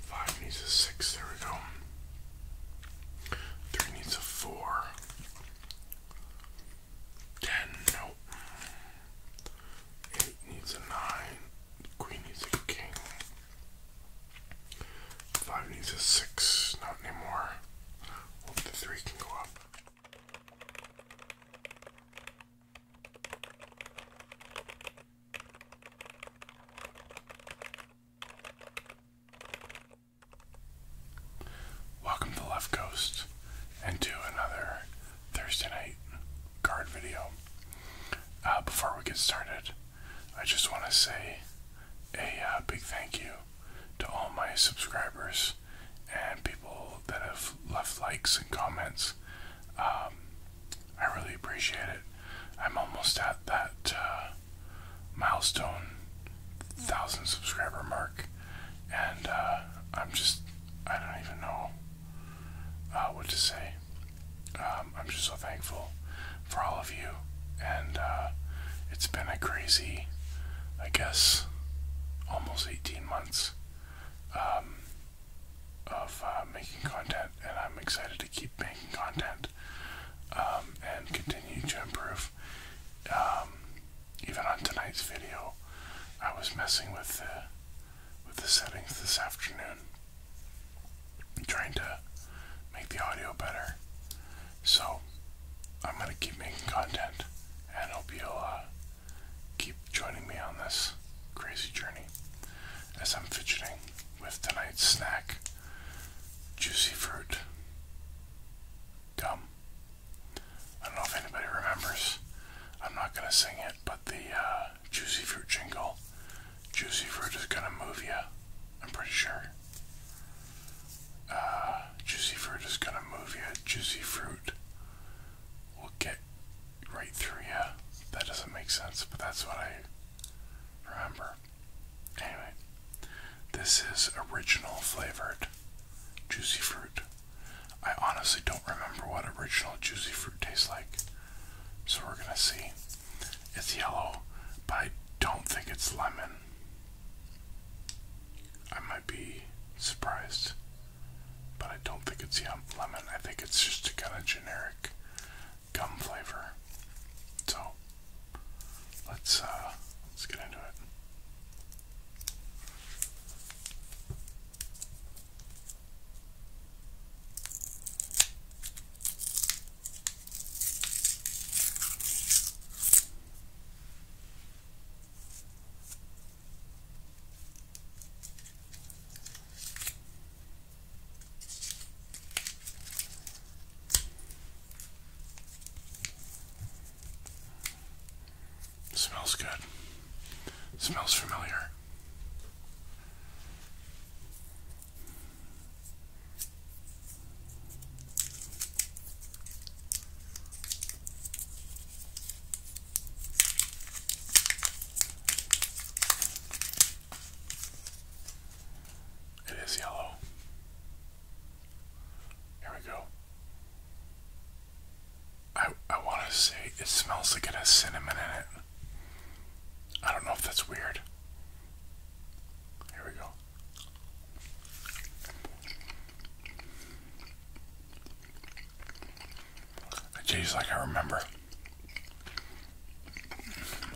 Five needs a six, there we go. Three needs a four. Ten, nope. Eight needs a nine. Queen needs a king. Five needs a six, not anymore. Hope the three can go up. Welcome to Left Coast and to another Thursday night guard video. Uh, before we get started, I just want to say a uh, big thank you to all my subscribers and people that have left likes and comments. Um, I really appreciate it. I'm almost at that uh, milestone, thousand subscriber mark, and uh, I'm just, I don't even know uh, what to say. Um, I'm just so thankful for all of you, and it's been a crazy, I guess, almost 18 months. Um, of uh, making content, and I'm excited to keep making content um, and continue to improve. Um, even on tonight's video, I was messing with the with the settings this afternoon, trying to make the audio better. So I'm gonna keep making content, and hope you'll uh, keep joining me on this crazy journey as I'm fidgeting with tonight's snack juicy fruit gum. I don't know if anybody remembers. I'm not going to sing it, but the uh, juicy fruit jingle, juicy fruit is going to move you. I'm pretty sure. Uh, juicy fruit is going to move you. Juicy fruit will get right through yeah. That doesn't make sense, but that's what I remember. Anyway, this is original flavored juicy fruit. I honestly don't remember what original juicy fruit tastes like, so we're gonna see. It's yellow, but I don't think it's lemon. I might be surprised, but I don't think it's lemon. I think it's just a kind of generic gum flavor. So let's uh, let's get into it. Smells good. Smells familiar. It is yellow. Here we go. I I want to say it smells like it has cinnamon in it. I don't know if that's weird. Here we go. It tastes like I remember.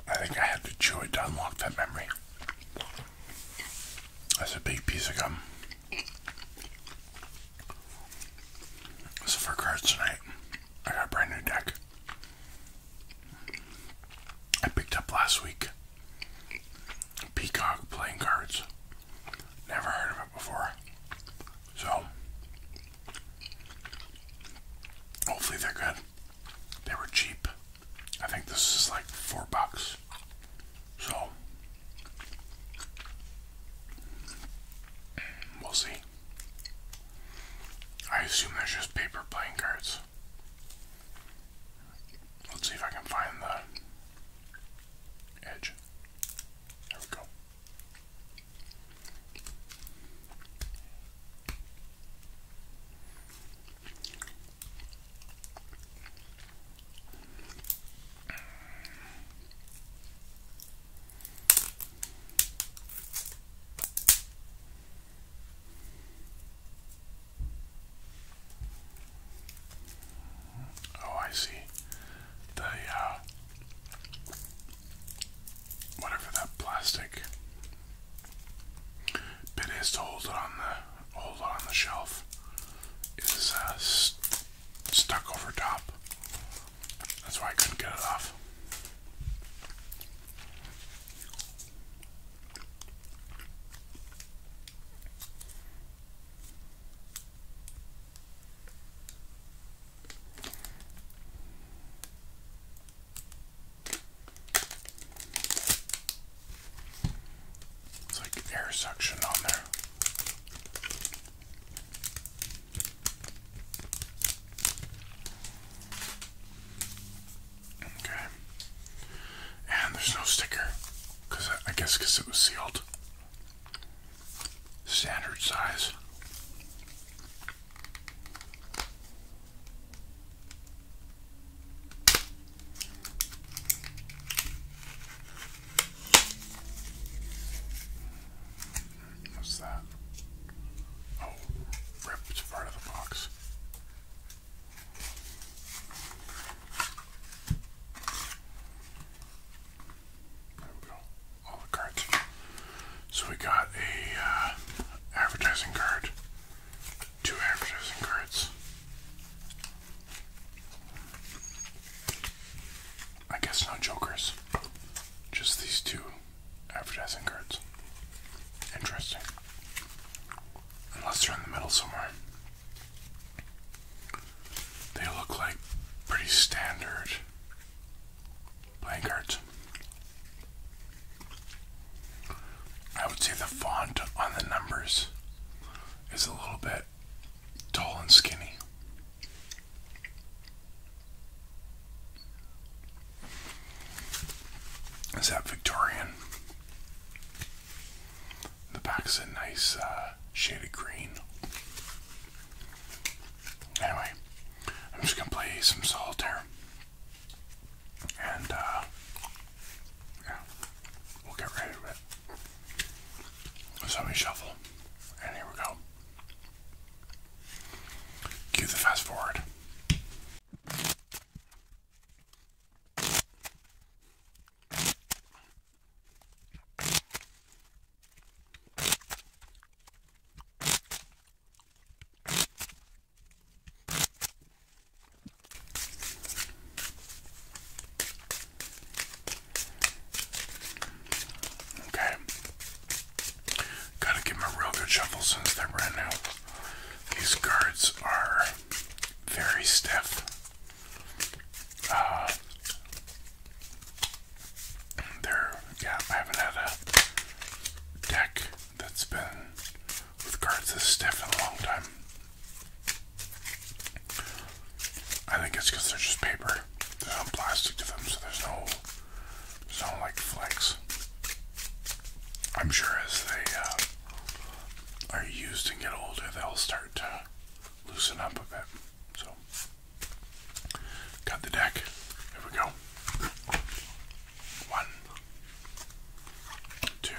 I think I had to chew it to unlock that memory. That's a big piece of gum. So for cards tonight, I got a brand new deck. I picked up last week. Peacock playing cards. Never heard of before. So, hopefully they're good. They were cheap. I think this is like four bucks. So, we'll see. I assume there's just paper playing cards. Let's see if I can find the edge. There we go. Oh, I see the uh, whatever that plastic bit is to hold it on the hold it on the shelf is uh, stuck over top. That's why I couldn't get it off. It's like air suction on there. Okay. And there's no sticker. Cause I, I guess because it was sealed standard size. What's that? Oh, ripped part of the box. So we got a uh, advertising card, two advertising cards. I guess no jokers, just these two advertising cards. Interesting. Unless they're in the middle somewhere. They look like pretty standard playing cards. I would say the font on the numbers is a little bit tall and skinny. Is that Victorian? The back is a nice uh, shade of green. Anyway, I'm just gonna play some solitaire. And, uh, yeah, we'll get right to it. So let me shuffle. And here we go. Cue the fast forward. Okay. Gotta give a real good shuffle since they're brand new. These cards are very stiff. Uh, there, yeah, I haven't had a deck that's been with cards this stiff in a long time. I think it's because they're just paper. They're not plastic to them, so there's no, there's no like flex. I'm sure as they uh, are used and get older, they'll start to loosen up a bit. So. Cut the deck. Here we go. One, two,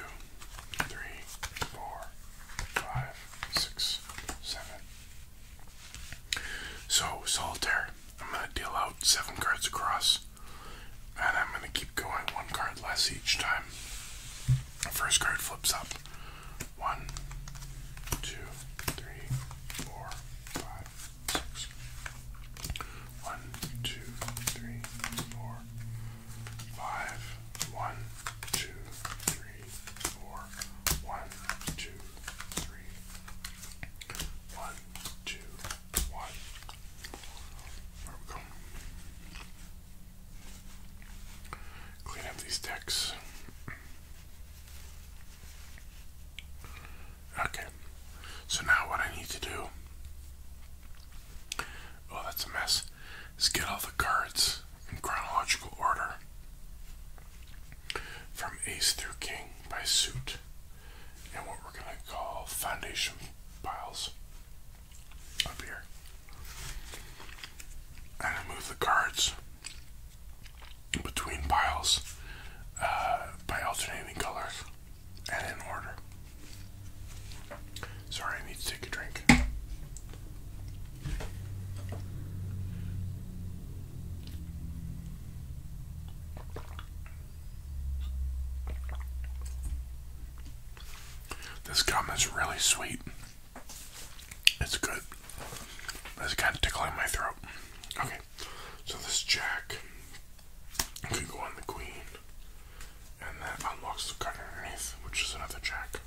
three, four, five, six, seven. So, Solitaire, I'm going to deal out seven cards across, and I'm going to keep going one card less each time. First card flips up. One, two, three, four, five, six. One, two, three, four, five. One, two, three, four. One, two, three. One, two, one. There we go. Clean up these decks. Okay, so now what I need to do, oh, that's a mess, is get all the cards in chronological order from Ace through King by suit and what we're going to call foundation piles up here. And move the cards between piles uh, by alternating colors and in order. Sorry, I need to take a drink. This gum is really sweet. It's good. That's kind of tickling my throat. Okay, so this jack can go on the queen, and that unlocks the card underneath, which is another jack.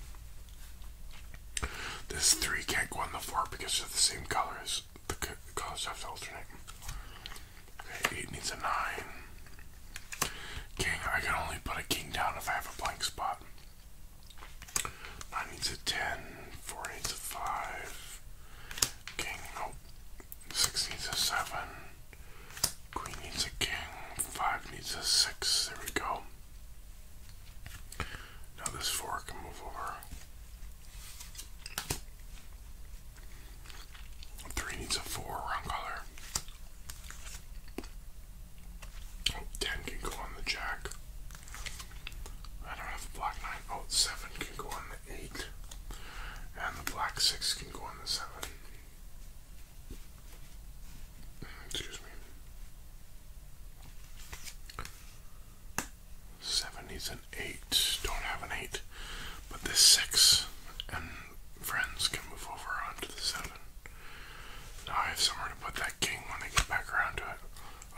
This three can't go on the four because they're the same color as the colors have to alternate. Okay, eight needs a nine. King, I can only put a king down if I have a blank spot. 9 needs a 10, 4 needs a 5, king, nope, 6 needs a 7, queen needs a king, 5 needs a 6, there we go. Now this 4 can move over. 3 needs a 4, wrong color. 10 can go on the jack. I don't have black 9. Oh, 7 can go on the 8. And the black 6 can go on the 7. Excuse me. 7 is an 8. Don't have an 8. But this 6 and friends can move over onto the 7. I have somewhere to put that king when I get back around to it.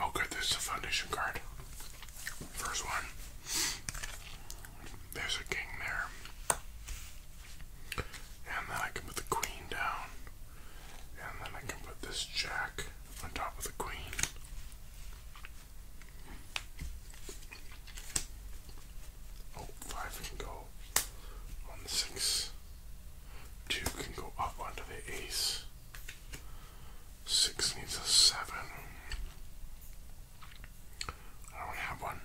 Oh good, there's a foundation card. First one. There's a king there. And then I can put the queen down. And then I can put this jack on top of the queen. Oh, five can go on the six. Two can go up under the ace. Six needs a seven. I don't have one.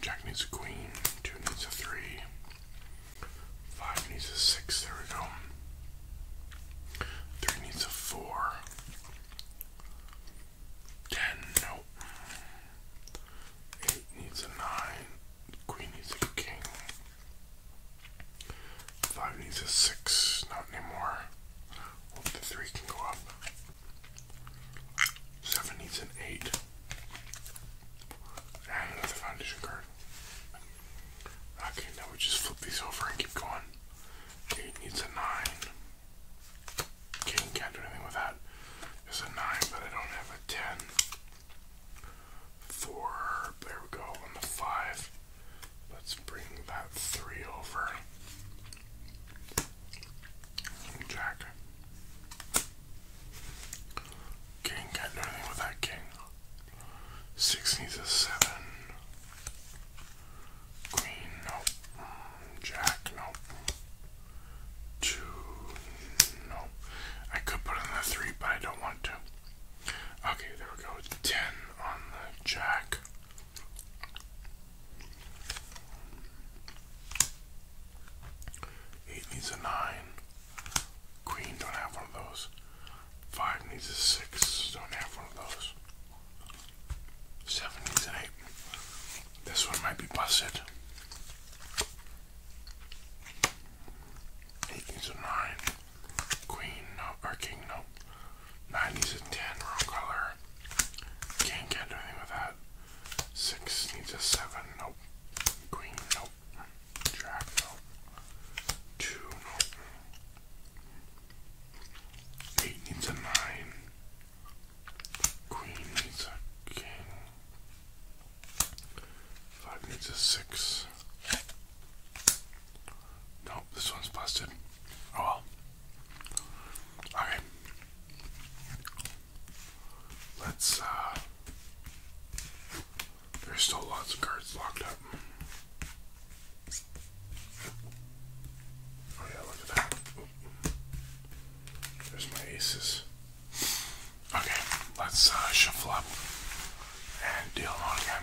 Jack needs a queen. Two needs a three. Five needs a six. There we go. Three needs a four. 10, nope. 8 needs a 9, queen needs a king. 5 needs a 6, not anymore. Hope the 3 can go up. 7 needs an 8. And another foundation card. Okay, now we just flip these over and keep going. 8 needs a 9. King can't do anything with that. It's a 9, but I don't have a 10. 4, there we go, on the 5. Let's bring that 3 over. Jack. King can't do anything with that king. Six needs a seven. Queen, nope. Um, jack, nope. Two, nope. I could put in the three, but I don't want to. Okay, there we go. Ten on the jack. Eight needs a nine. Queen, don't have one of those. Five needs a six, don't have one of those. 78. This one might be busted. 18 is a 9. Queen, no. Or king, no. 9 needs a 10, wrong color. can't do anything with that. 6 needs a 7, nope. Queen, nope. Jack, nope. 2, nope. Eight needs a nine. Queen needs a king. Five needs a six. Nope, this one's busted. Oh Okay. Let's, uh, There's still lots of cards locked up. Oh yeah, look at that. There's my aces. Okay, let's uh, shuffle up and deal on again.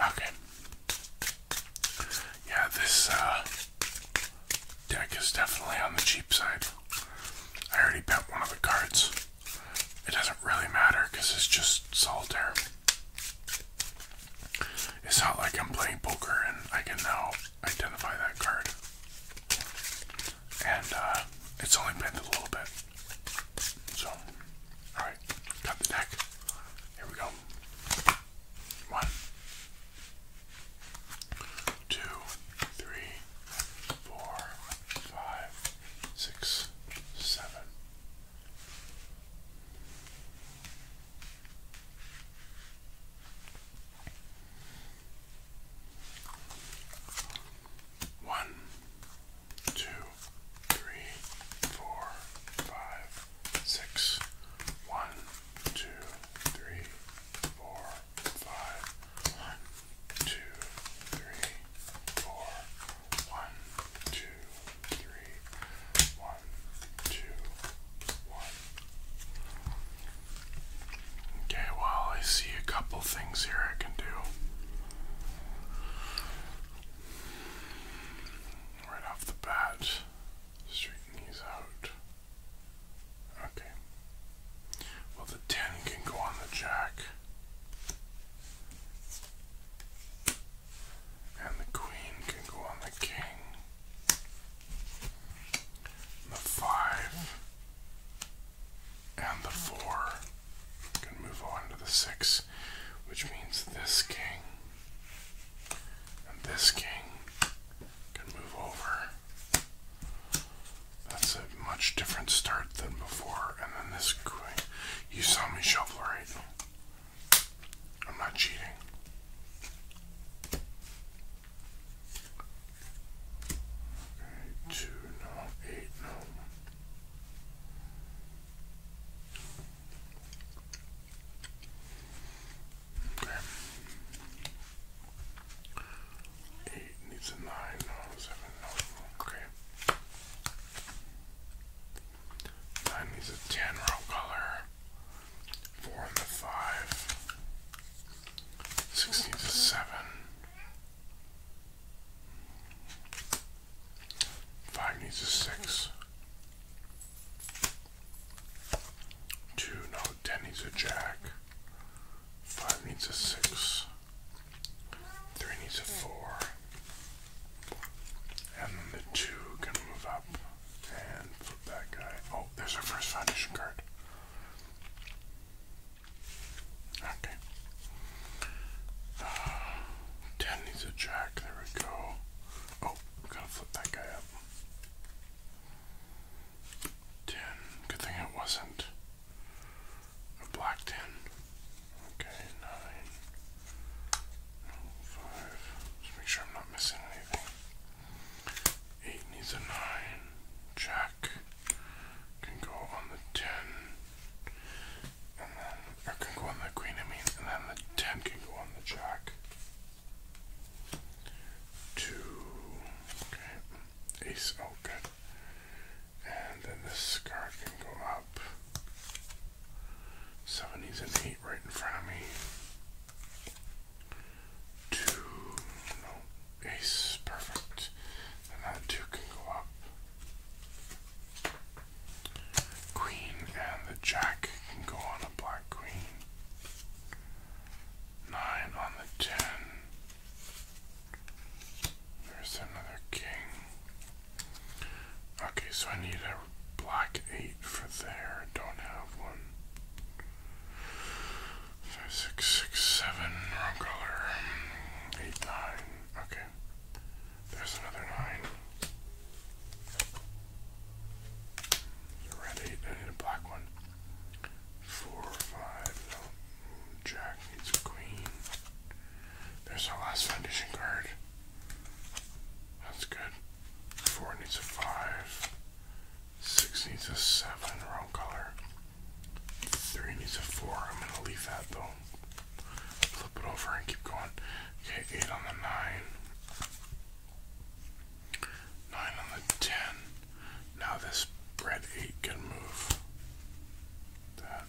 Okay. Yeah, this uh, deck is definitely on the cheap side. I already bet one of the cards. It doesn't really matter because it's just solitaire. It's not like I'm playing poker and I can now identify that card and uh, it's only bended a little bit. So, alright, cut the neck. Here we go. One, two, three, four, five, six, seven. One, two, three, four, five, six. One, two, three, four, five. One, two, three, four. One, two, three. One, two, one. Okay, well, I see a couple things here I can do. Right off the bat, straighten these out. Okay. Well, the 10 can go on the jack. And the queen can go on the king. the five and the four. can move on to the six, which means this king and this king can move over. That's a much different start than before. And then this queen. You saw me shuffle right. I'm not cheating. Okay, two no, eight no. Okay. Eight needs a nine, no, seven, no, okay. Nine needs a ten row color. Four and the five. Six needs a seven. Five needs a six. Two, no, ten needs a jack. Five needs a six. Three needs a four. And the two can move up and flip that guy. Oh, there's our first foundation card. Okay. Ten needs a jack. There we go. Oh, gotta flip that guy up. Ten. Good thing it wasn't a black ten. Okay, nine. Five. Just make sure I'm not missing anything. Eight needs a nine. Jack can go on the 10, and then, or can go on the queen, I mean, and then the 10 can go on the jack. 2, okay, ace, oh good. And then this card can go up. 70s and 8 right in front of me. 2, no. Ace, perfect. And that two can go up. Queen and the jack can go on a black queen. Nine on the ten. There's another king. Okay, so I need a black eight for there. Don't have one. Five, six, six, seven. Wrong color. Eight, nine. Okay. There's another nine. The red eight. I need a black one. Four, five. No. Jack needs a queen. There's our last foundation card. That's good. Four needs a five. Six needs a seven, wrong color. Three needs a four. I'm gonna leave that though. Flip it over and keep going. Okay, eight on the nine. Nine on the ten. Now this red eight can move. That.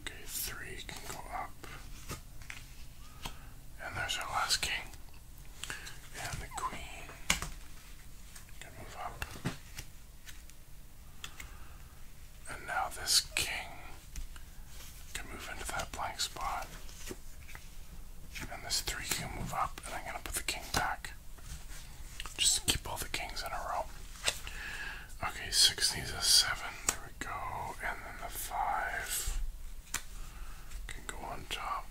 Okay, three can go up. And there's our last king. And the queen can move up. And now this king can move into that blank spot. And this three can move up, and I'm gonna put the king back. Just keep all the kings in a row. Okay, six needs a seven. There we go. And then the five can go on top.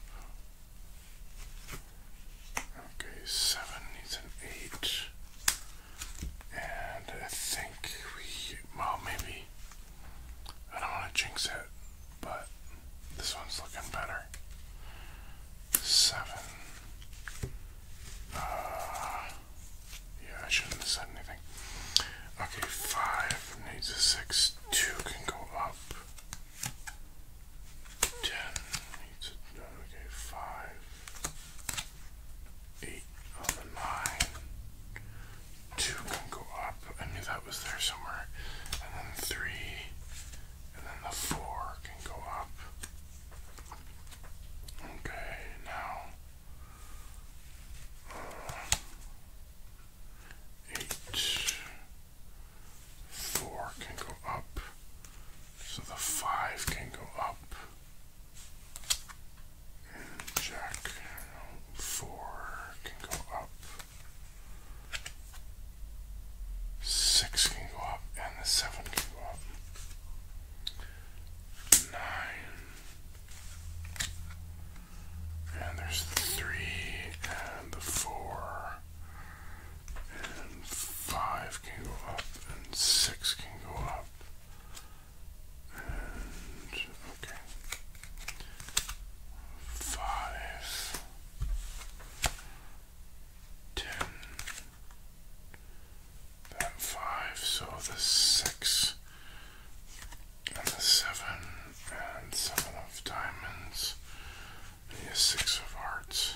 Okay, seven needs an eight. And I think we, well, maybe, I don't want to jinx it, but this one's looking better. Seven. Uh, yeah, I shouldn't have said anything. Okay, five needs a six. Two can go up. Ten okay, five, eight on nine. Two can go up. I knew that was there somewhere. And then three, and then the four can go up. Okay, now. Uh, eight, Four can go up. So the five can go up. And check. Four can go up. Six can go up. And the seven can go up. Nine. And there's the three and the four and five can go up, and six can go up, and okay, five, ten, that five, so the six. And the seven and seven of diamonds a six of hearts,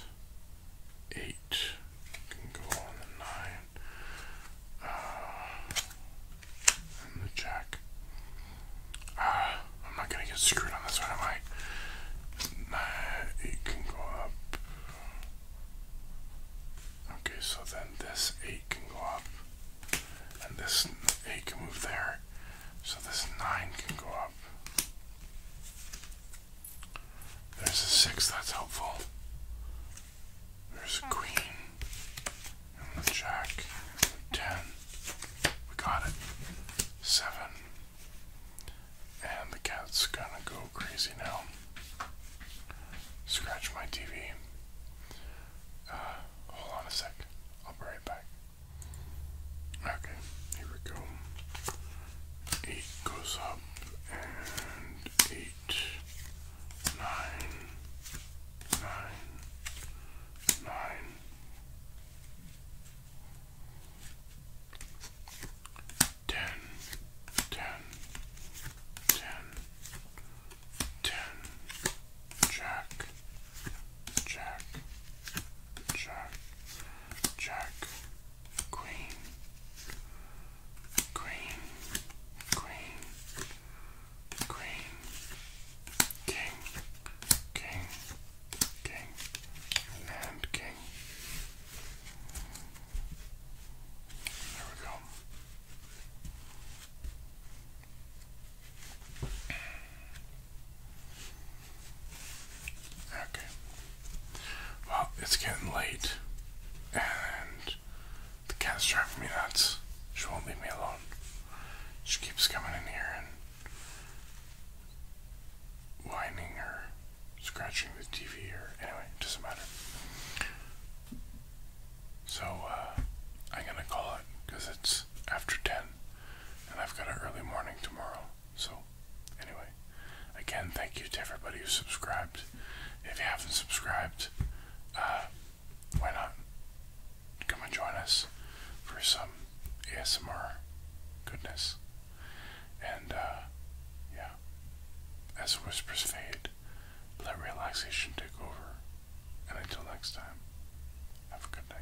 eight can go on the nine, uh, and the jack. Ah, I'm not gonna get screwed on this one, am I? eight can go up. Okay, so then this eight can go up, and this eight can move there, so this 9 can go up. There's a 6, that's helpful. There's a queen. And the jack. 10. We got it. 7. And the cat's gonna go crazy now. Scratch my TV. Uh, hold on a sec. I'll be right back. Okay, here we go. Eight goes up and eight, nine, nine, nine. Jack, Jack, Jack, Jack, Queen, Queen, Queen, Queen, King, King, King, and King. There we go. Okay. Well, it's getting late, and the cat's driving me nuts. She won't leave me alone. She keeps coming in here and whining or scratching the TV or anyway, it doesn't matter. So uh, I'm gonna call it because it's after ten and I've got an early morning tomorrow. So, anyway, again, thank you to everybody who subscribed. If you haven't subscribed, uh, why not come and join us for some ASMR goodness? And, uh, yeah, as whispers fade, let relaxation take over. And until next time, have a good night.